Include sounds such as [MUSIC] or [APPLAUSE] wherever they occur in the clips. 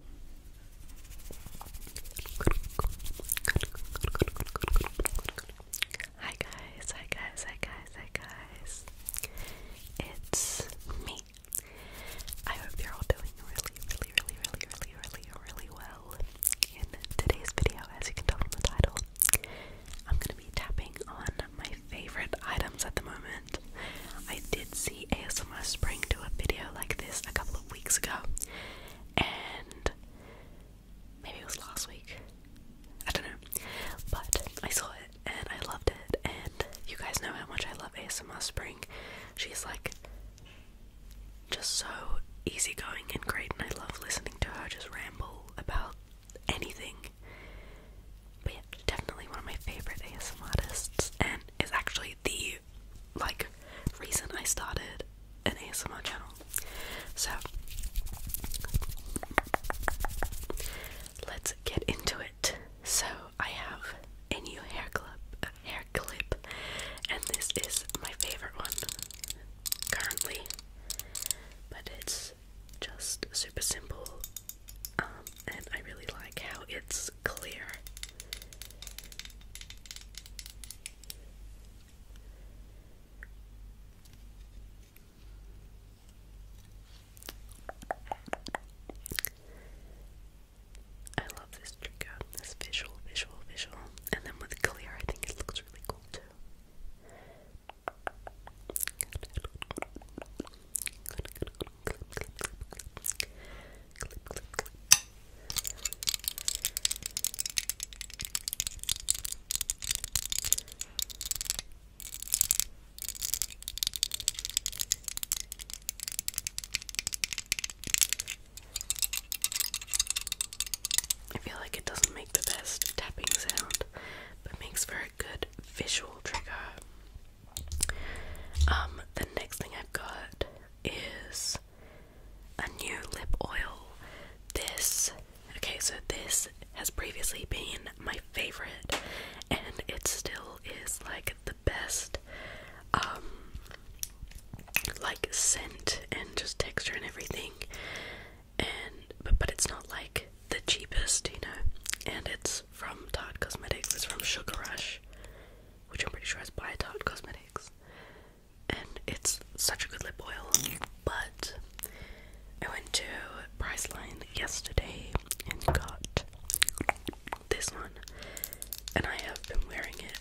Hi guys, hi guys, hi guys, hi guys. It's me. I hope you're all doing really, really, really, really, really, really, really well. In today's video, as you can tell from the title, I'm gonna be tapping on my favorite items at the moment. I did see ASMR Spring do a video like this a couple of weeks ago, and maybe it was last week. I don't know, but I saw it and I loved it. And you guys know how much I love ASMR Spring. She's like just so easygoing and great, and I love listening to her just ramble about anything. But yeah, definitely one of my favorite ASMR artists, and is actually the like reason I started an ASMR channel. So let's get into it. So I have a new hair clip, uh, hair clip, and this is my favorite one currently. But it's just super simple, um, and I really like how it's clear. I love this trigger, this visual, visual, visual, and then with clear, I think it looks really cool too. I feel like it doesn't make the best tapping sound, but makes for a good visual trigger. Um, the next thing I've got is a new lip oil. This, okay, so this has previously been my favorite, and it still is like the best, um, like scent and just texture and everything. And but, but it's not like the cheapest, you know, and it's from Tarte Cosmetics, it's from Sugar Rush which I'm pretty sure is Biotart Cosmetics. And it's such a good lip oil, but I went to Price Line yesterday and got this one. And I have been wearing it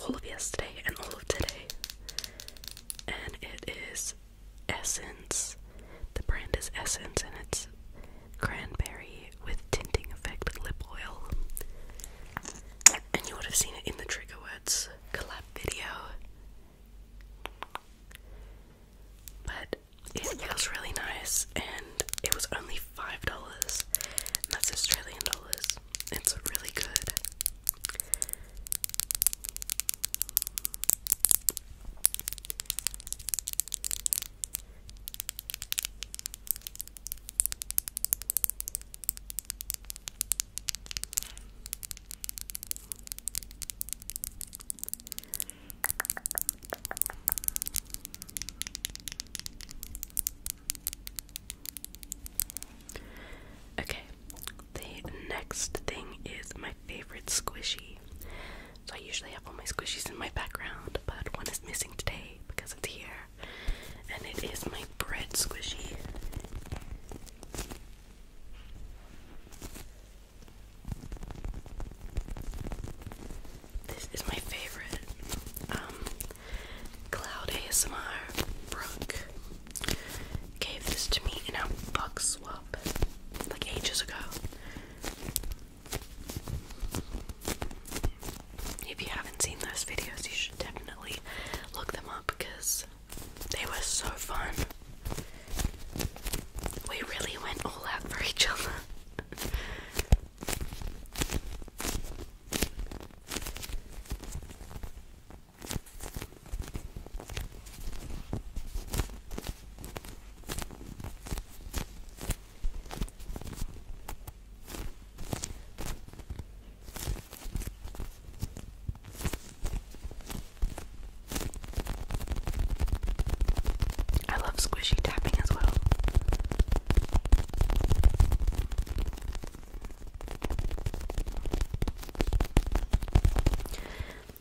all of yesterday and all of today. And it is Essence. The brand is Essence and it's cranberry with tinting effect lip oil. And you would have seen it in the trigger words collab video. But it feels really nice and it was only five dollars. That's Australian dollars. It's really good. Okay, the next thing is my favorite squishy. So I usually have all my squishies in my background, but one is missing today because it's here. And it is my bread squishy. This is my favorite. Um, Cloud ASMR Brooke gave this to me in a box swap like ages ago. If you haven't seen those videos, you should definitely look them up because they were so fun. We really went all out for each other. I love squishy tapping as well.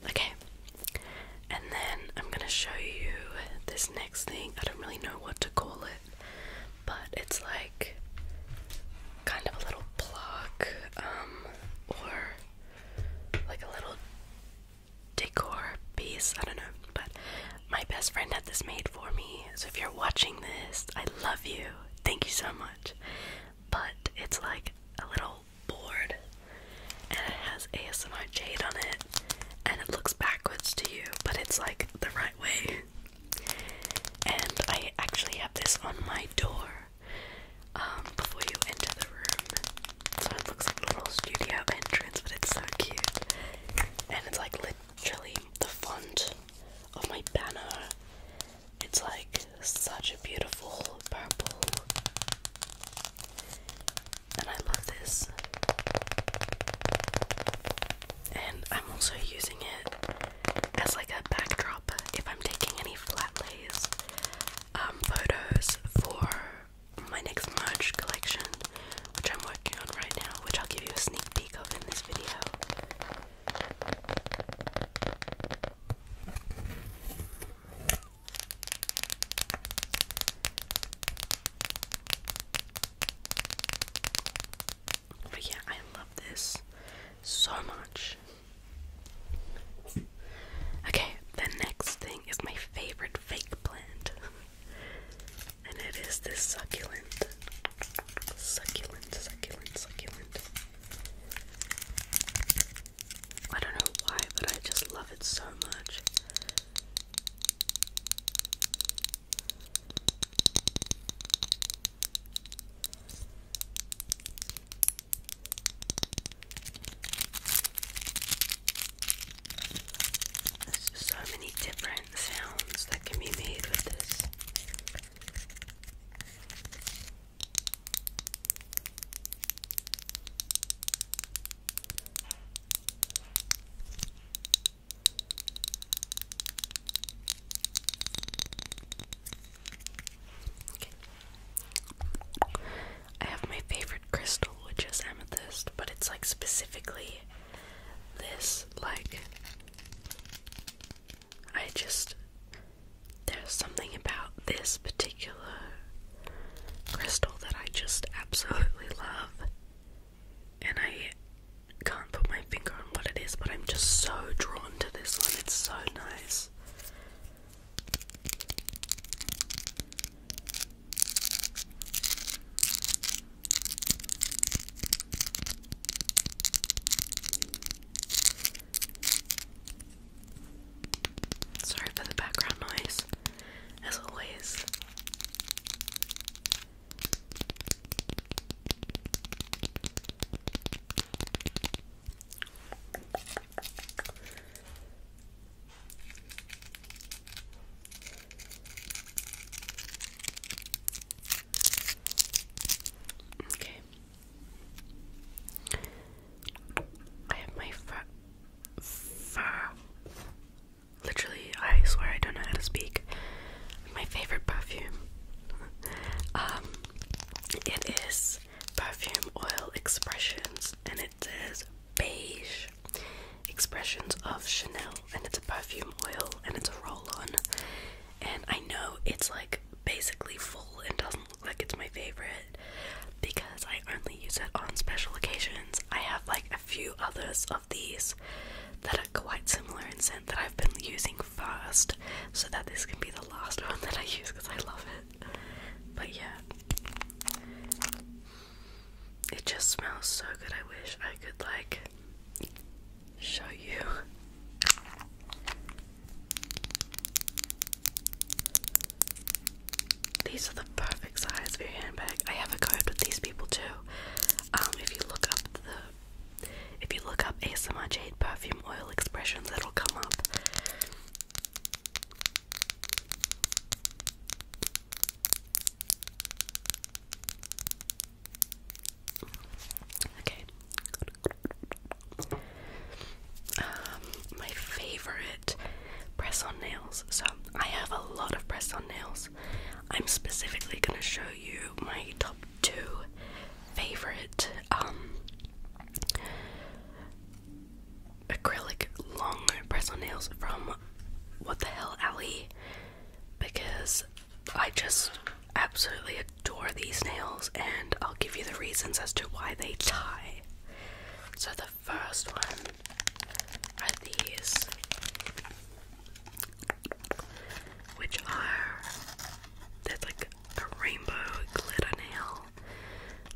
Okay, and then I'm gonna show you this next thing. I don't really know what to call it, but it's like kind of a little plug, um, or like a little decor piece. I don't know, but my best friend had this made for me. So if you're watching this, I love you. Thank you so much. But it's like a little board and it has ASMR Jade on it, and it looks backwards to you, but it's like the right way. And I actually have this on my door um, before you enter the room, so it looks like a little studio entrance, but it's so cute. And it's like literally the font of my banner. It's like such a beautiful purple and I love this. And I'm also using it as like a backdrop if I'm taking any flat lays um, photos for my next merch collection, which I'm working on right now, which I'll give you a sneak peek of in this video. But yeah, I love this so much. Okay, the next thing is my favorite fake plant. and it is this succulent. Succulent, succulent, succulent. I don't know why, but I just love it so much. There's so many different sounds that can be made with this. I have my favorite crystal, which is amethyst, but it's like specifically this. Like, I just. There's something about this particular crystal that I just absolutely love. And I can't put my finger on what it is, but I'm just so drawn to this one. It's so nice. Sorry for the background noise, as always. Okay. I have my Fur. Literally, I swear I don't know how to speak. My favorite perfume. [LAUGHS] um, it is perfume oil expressions, and it says beige expressions of Chanel, and it's a perfume oil, and it's a roll-on. And I know it's like basically full and doesn't like it's my favorite because I only use it on special occasions. I have like a few others of these that are quite similar in scent that I've been using first so that this can be the last one that I use because I love it. But yeah. It just smells so good. I wish I could like show you. These are the perfect size for your handbag. I have a card with these people too. Um, if you look up the, if you look up ASMR Jade perfume oil expressions, it'll come up. Okay. Um, my favorite press on nails. So I have a lot of press on nails. I'm specifically gonna show you my top two favorite um, acrylic long press on nails from What the Hell Alley because I just absolutely adore these nails and I'll give you the reasons as to why they tie. So the first one are these, which are there's like a rainbow glitter nail,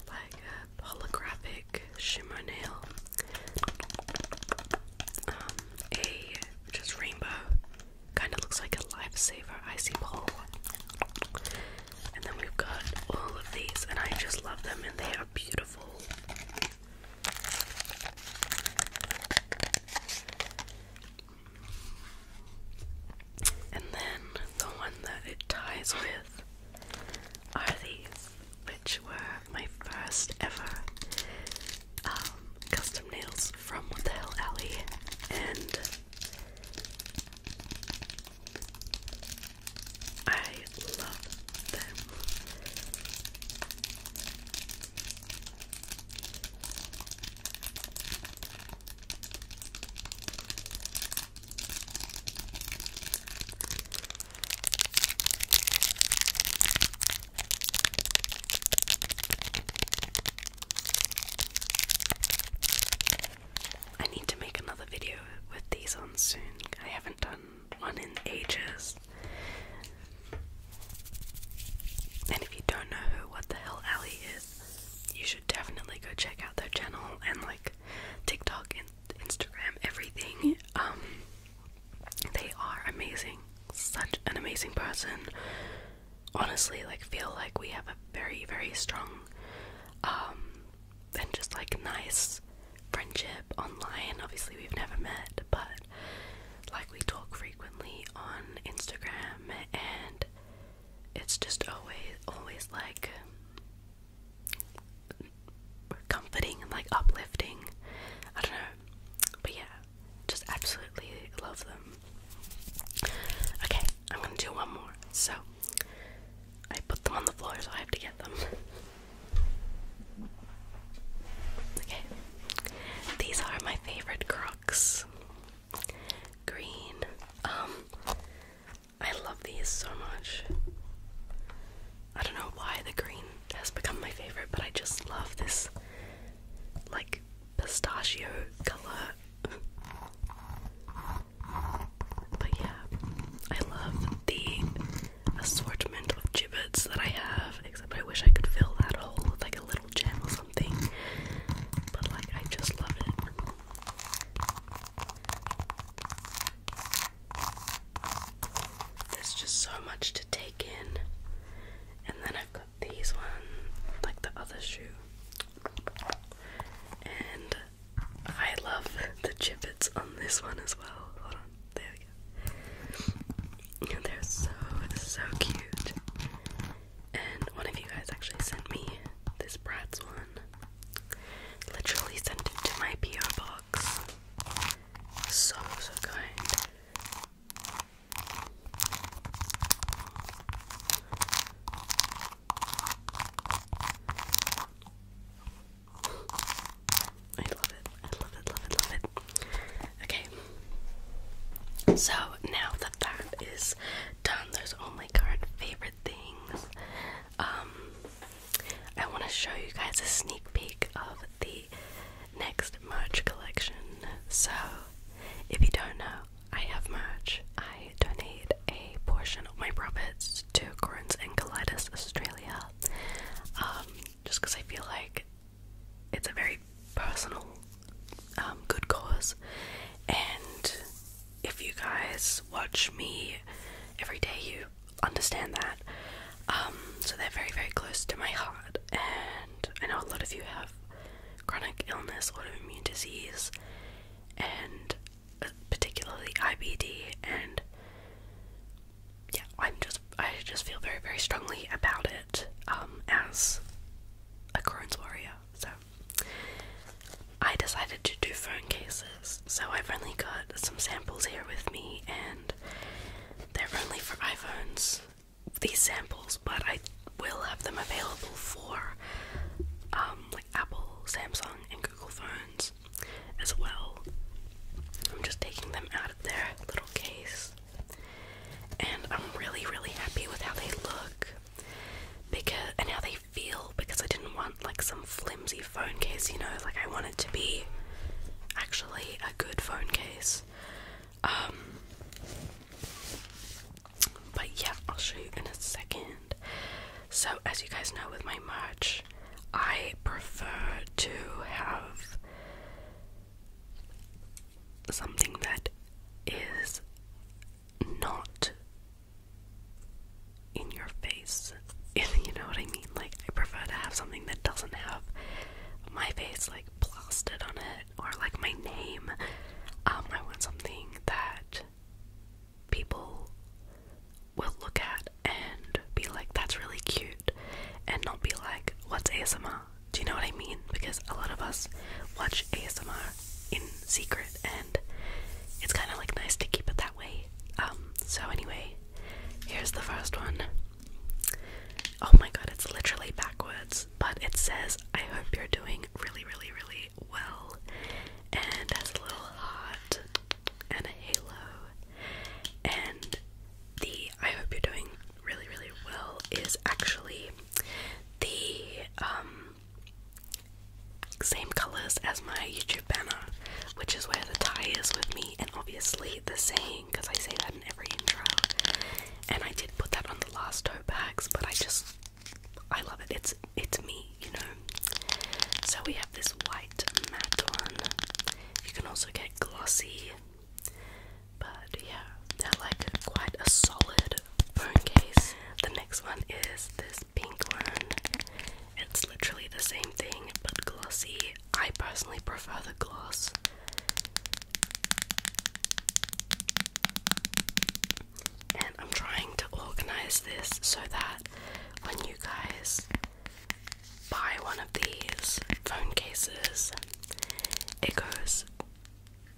like a holographic shimmer nail, um, a just rainbow kind of looks like a lifesaver icy pole, and then we've got all of these, and I just love them, and they are beautiful. And then the one that it ties with are these, which were my first ever um, custom nails from What Alley. And I love them. I need to make another video with these on soon. I haven't done one in ages. And if you don't know who What the Hell Ali is, you should definitely go check out their channel and like TikTok and Instagram, everything. Um, they are amazing. Such an amazing person. Honestly, like feel like we have a very, very strong um and just like nice friendship online. Obviously, we've never met, but like we talk frequently on Instagram, and it's just always, always like we're comforting and like uplifting. I don't know, but yeah, just absolutely love them. Okay, I'm gonna do one more. So I put them on the floor, so I have to get them. okay, these are my favorite Crocs. Green. Um, I love these so much. I don't know why the green has become my favorite, but I just love this like pistachio color. But yeah, I love the assortment of gibbets that I have, except I wish I could fill that hole with like a little gem or something. But like, I just love it. There's just so much to take in. And then I've got these ones, like the other shoe. And I love the chippets on this one as well. there we go. They're so so cute. And one of you guys actually sent me this Bratz one. Literally sent it to my PO box. So so kind. I love it. I love it, love it, love it. Okay. So now that that is done, those are current favorite things. Um, I want to show you guys a sneak peek of the next merch collection. So, if you don't know, I have merch. I donate a portion of my profits to Currents and Colitis Australia. Um, just because I feel like it's a very personal, um, good cause. And if you guys watch me every day, you understand that. Um, so they're very, very close to my heart. And I know a lot of you have chronic illness, autoimmune disease, and particularly IBD, and yeah, I'm just I just feel very very strongly about it um, as a Crohn's warrior. So I decided to do phone cases. So I've only got some samples here with me, and they're only for iPhones. These samples, but I will have them available for um, like Apple, Samsung, and Google phones as well. I'm just taking them out of their little case, and I'm really, really happy with how they look because and how they feel because I didn't want like some flimsy phone case, you know, like I wanted to be actually a good phone case. Um, but yeah, I'll show you in a second. So, as you guys know, with my merch, I prefer to have something that is not in your face. If [LAUGHS] you know what I mean? Like, I prefer to have something that doesn't have my face like blasted on it or like my name. Um, I want something that people will look at and be like, that's really cute, and not be like, what's ASMR? Do you know what I mean? Because a lot of us watch ASMR in secret, and it's kind of like nice to keep it that way. Um, so, anyway, here's the first one. Oh my god, it's literally backwards, but it says, I hope you're doing really, really, really well and has a little heart and a halo. And the I hope you're doing really, really well is actually the um, same colors as my YouTube banner, which is where the tie is with me, and obviously the saying because I say that in every intro. And I did put that on the last tote bags, but I just I love it. It's it's me, you know. So we have this white matte one. You can also get glossy. But yeah, they're like quite a solid phone case. The next one is this pink one. It's literally the same thing but glossy. I personally prefer the gloss and I'm trying to organize this so that when you guys buy one of these phone cases, it goes.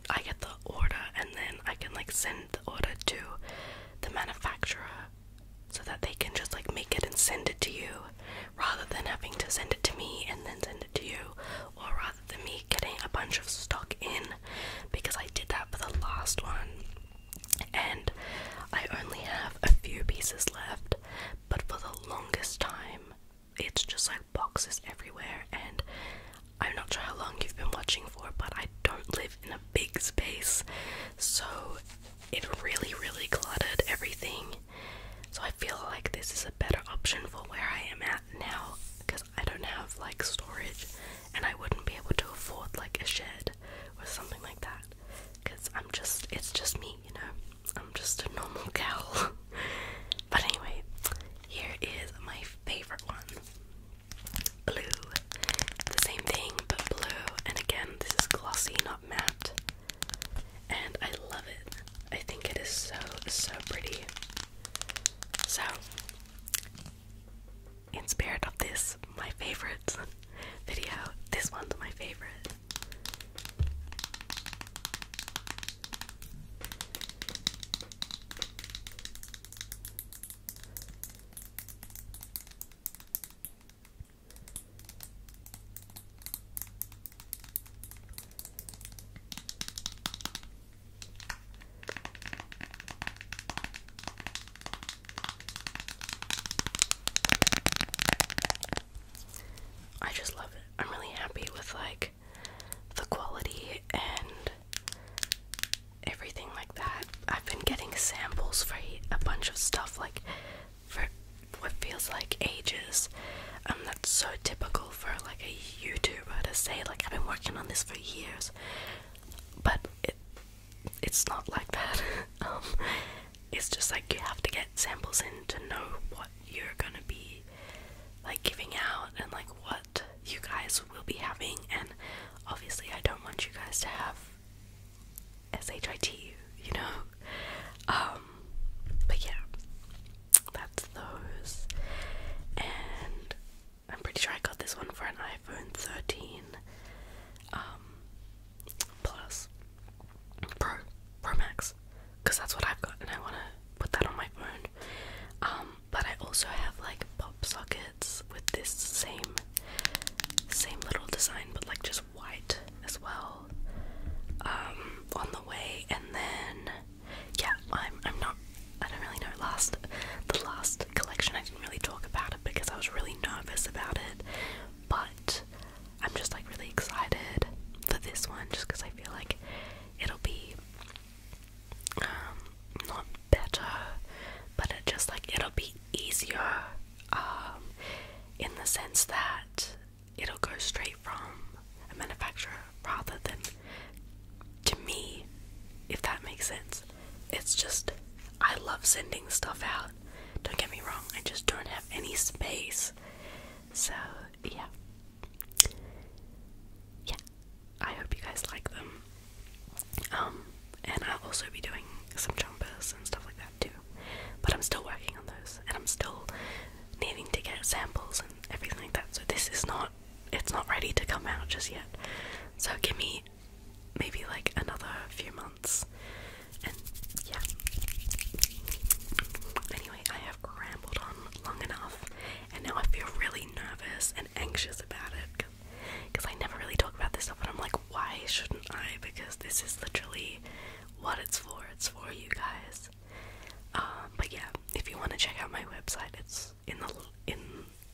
I get the order and then I can like send the order to the manufacturer so that they can just like make it and send it to you rather than having to send it to me and then send it to you or rather the me getting a bunch of stock in because I did that for the last one and I only have a few pieces left but for the longest time it's just like boxes everywhere and I'm not sure how long you've been watching for but I don't live in a big space so it really really cluttered everything so I feel like this is a better option for where I am at now because I don't have like storage and I wouldn't be able to afford like a shed or something like that because I'm just, it's just me, you know, I'm just a normal girl. [LAUGHS] but anyway, here is my favorite one blue. The same thing but blue, and again, this is glossy, not matte. And I love it. I think it is so, so pretty. So, in spirit of this, my favorite video, this one's my favorite. I just love it. I'm really happy with like the quality and everything like that. I've been getting samples for a bunch of stuff like for what feels like ages. Um that's so typical for like a YouTuber to say like I've been working on this for years, but it it's not like that. [LAUGHS] Um, it's just like you have to get samples in to know what you're gonna be like giving out and like what you guys will be having. And obviously, I don't want you guys to have shit, you know. Um, but yeah, that's those. And I'm pretty sure I got this one for an iPhone 13 um, Plus Pro Pro Max because that's what I've got and I want to put that on my phone. Um, but I also have like pop sockets with this same same little design but like just white as well um, on the way and then yeah, I'm I'm not I don't really know last the last collection I didn't really talk about it because I was really nervous about it, but I'm just like really excited for this one just because I feel like it'll be um not better, but it just like it'll be easier um in the sense that it'll go straight from a manufacturer rather than to me, if that makes sense. It's just I love sending stuff out. Don't get me wrong, I just don't have any space. So, yeah. Yeah. I hope you guys like them. Um, and I'll also be doing some jumpers and stuff like that too. But I'm still working on those and I'm still needing to get samples and everything like that. So this is not it's not ready to come out just yet. So give me maybe like another few months. And yeah. Anyway, I have rambled on long enough and now I feel really nervous and anxious about it because I never really talk about this stuff and I'm like, why shouldn't I? Because this is literally what it's for. It's for you guys. Uh, but yeah, if you want to check out my website, it's in the in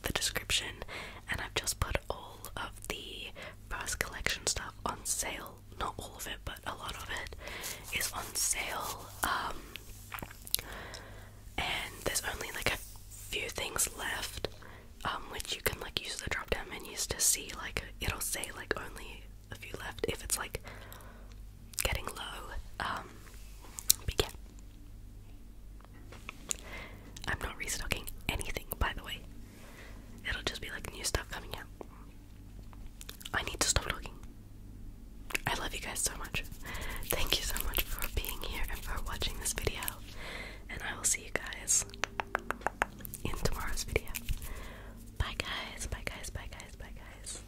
the description, and I've just put all of the first collection stuff on sale. Not all of it, but a lot of it is on sale. Um, and there's only like a few things left, um, which you can like use the drop down menus to see. Like it'll say like only a few left if it's like getting low. Um, but yeah, I'm not restocking anything, by the way. It'll just be like new stuff coming out. I need to stop talking. I love you guys so much. Thank you so much for being here and for watching this video. And I will see you guys in tomorrow's video. Bye guys, bye guys, bye guys, bye guys.